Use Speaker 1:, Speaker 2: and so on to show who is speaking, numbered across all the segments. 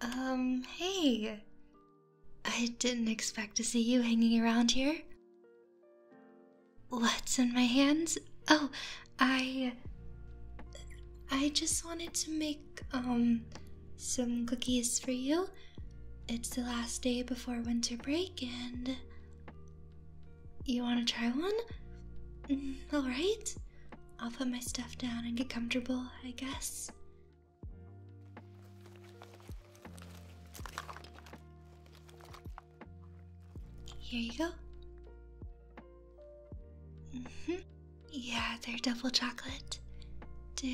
Speaker 1: Um, hey. I didn't expect to see you hanging around here. What's in my hands? Oh, I. I just wanted to make um some cookies for you. It's the last day before winter break and you want to try one? Mm, all right. I'll put my stuff down and get comfortable, I guess. Here you go. -hmm. Yeah, they're double chocolate. Do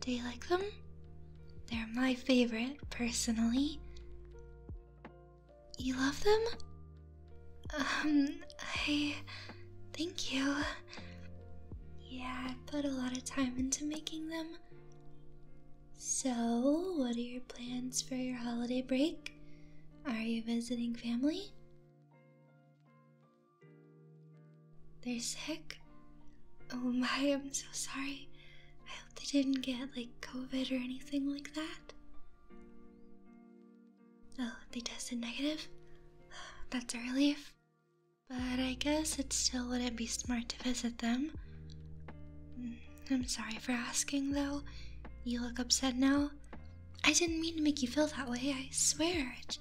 Speaker 1: do you like them? They're my favorite, personally. You love them? Um, I thank you. Yeah, I put a lot of time into making them. So, what are your plans for your holiday break? Are you visiting family? They're sick? Oh my, I'm so sorry. I hope they didn't get like COVID or anything like that. Oh, they tested negative? That's a relief. But I guess it still wouldn't be smart to visit them. Hmm, I'm sorry for asking though. You look upset now. I didn't mean to make you feel that way, I swear. It,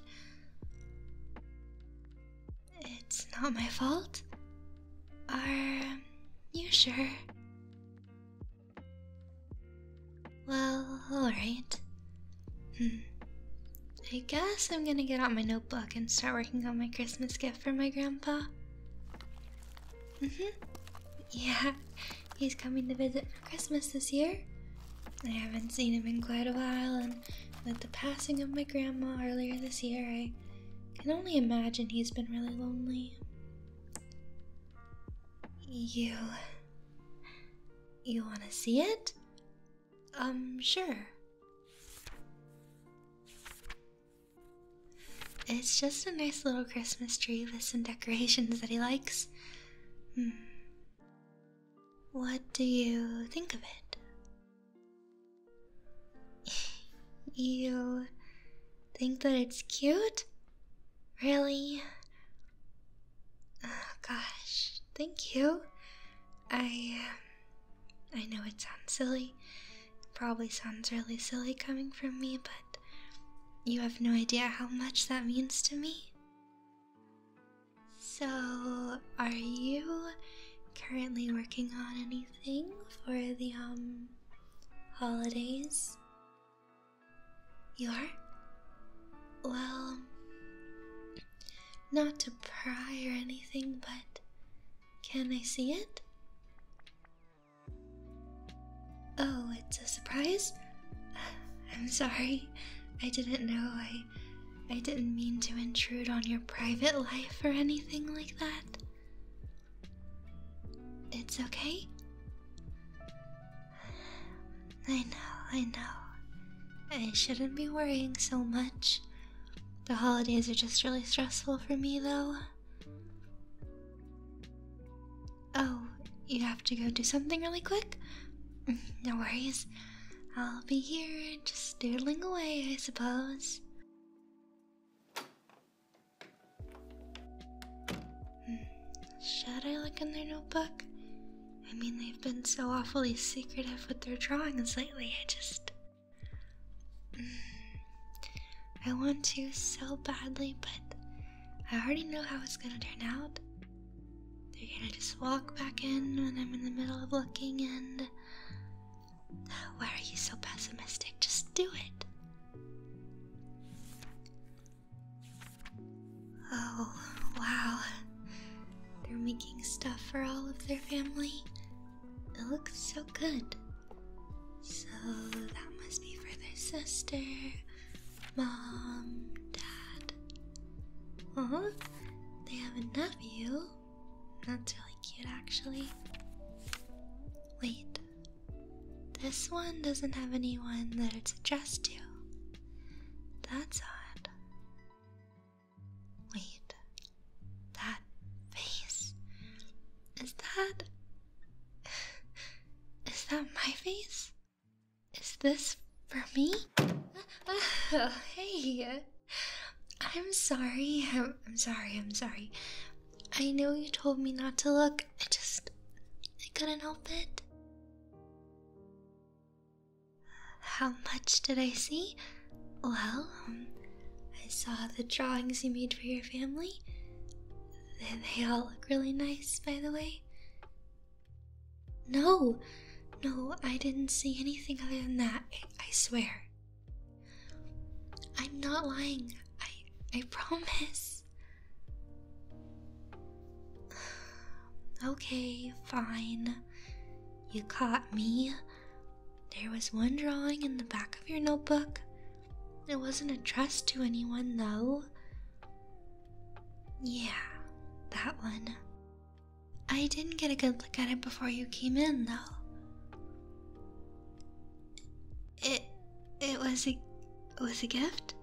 Speaker 1: it's not my fault. Are you sure? Well, alright. Hmm. I guess I'm gonna get out my notebook and start working on my Christmas gift for my grandpa. Mm hmm. Yeah, he's coming to visit Christmas this year. I haven't seen him in quite a while, and with the passing of my grandma earlier this year, I can only imagine he's been really lonely. You. You want to see it? Um, sure. It's just a nice little Christmas tree with some decorations that he likes. Hmm. What do you think of it? you think that it's cute? Really? Oh, gosh, thank you. I um, I know it sounds silly. probably sounds really silly coming from me, but you have no idea how much that means to me. So, are you currently working on anything for the um, holidays? You are? Well, not to pry or anything, but can I see it? Oh, it's a surprise? I'm sorry. I didn't know. I I didn't mean to intrude on your private life or anything like that. It's okay. I know, I know. I shouldn't be worrying so much. The holidays are just really stressful for me, though. Oh, you have to go do something really quick? No worries. I'll be here just doodling away, I suppose. Hmm, should I look in their notebook? I mean, they've been so awfully secretive with their drawings lately, I just. Hmm, I want to so badly, but I already know how it's gonna turn out. They're gonna just walk back in when I'm in the middle of looking and. Oh, why are you so pessimistic? Just do it. Oh, wow. They're making stuff for all of their family. It looks so good. So that must be for their sister, Mom, Dad. Oh, they have a nephew. That's really cute, actually. Wait, this one doesn't have anyone that it's addressed to. That's odd. Wait, that face. Is that. Is that my face? Is this for me? Oh, hey. I'm sorry. I'm, sorry. I'm sorry. I know you told me not to look. I just. I couldn't help it. How much did I see? Well, um, I saw the drawings you made for your family. they all look really nice, by the way. No, no, I didn't see anything other than that, I, I swear. I'm not lying, I, I promise. Okay, fine. You caught me. There was one drawing in the back of your notebook. It wasn't addressed to anyone, though. Yeah, that one. I didn't get a good look at it before you came in, though. It it was a was a gift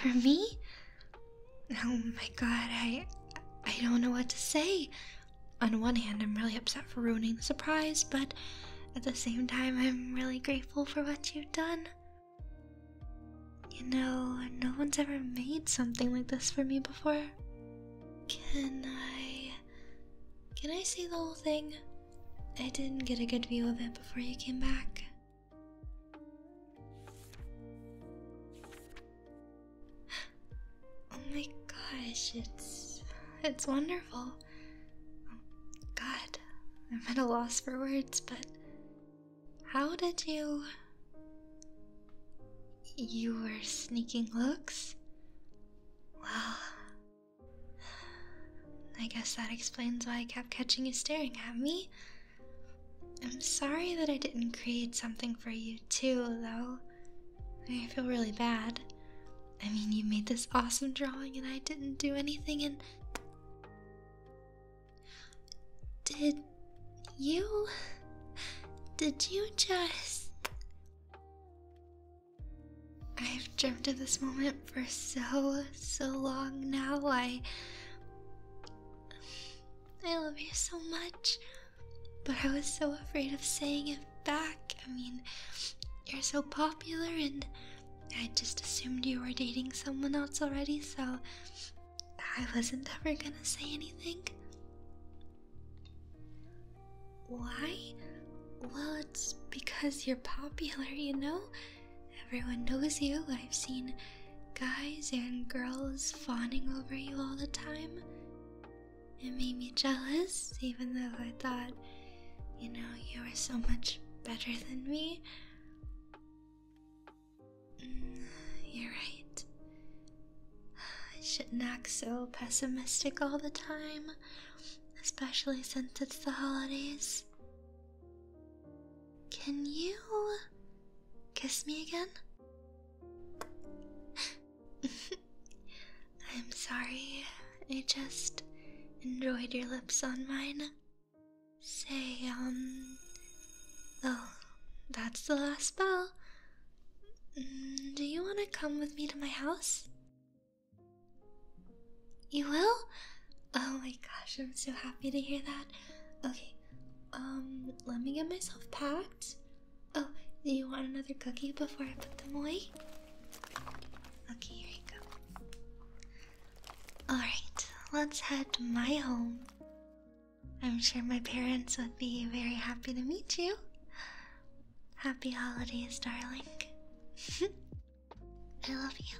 Speaker 1: for me. Oh my god, I I don't know what to say. On one hand, I'm really upset for ruining the surprise, but at the same time, I'm really grateful for what you've done. You know, no one's ever made something like this for me before. Can I. Can I see the whole thing? I didn't get a good view of it before you came back. Oh my gosh, it's. It's wonderful. Oh, God, I'm at a loss for words, but how did you. You were sneaking looks? Well, I guess that explains why I kept catching you staring at me. I'm sorry that I didn't create something for you, too, though. I feel really bad. I mean, you made this awesome drawing and I didn't do anything, and did you. Did you just. I've dreamed of this moment for so, so long now. I. I love you so much, but I was so afraid of saying it back. I mean, you're so popular and I just assumed you were dating someone else already, so I wasn't ever gonna say anything. Why? Well, it's because you're popular, you know? Everyone knows you. I've seen guys and girls fawning over you all the time. It made me jealous, even though I thought, you know, you were so much better than me. you're right. I shouldn't act so pessimistic all the time, especially since it's the holidays. Can you kiss me again? I'm sorry, I just enjoyed your lips on mine. Say, um, well, oh, that's the last bell. Mm, do you want to come with me to my house? You will? Oh my gosh, I'm so happy to hear that. Okay, um, let me get myself packed. Oh, do you want another cookie before I put them away? Okay, here you go. Alright, let's head to my home. I'm sure my parents would be very happy to meet you. Happy holidays, darling. I love you.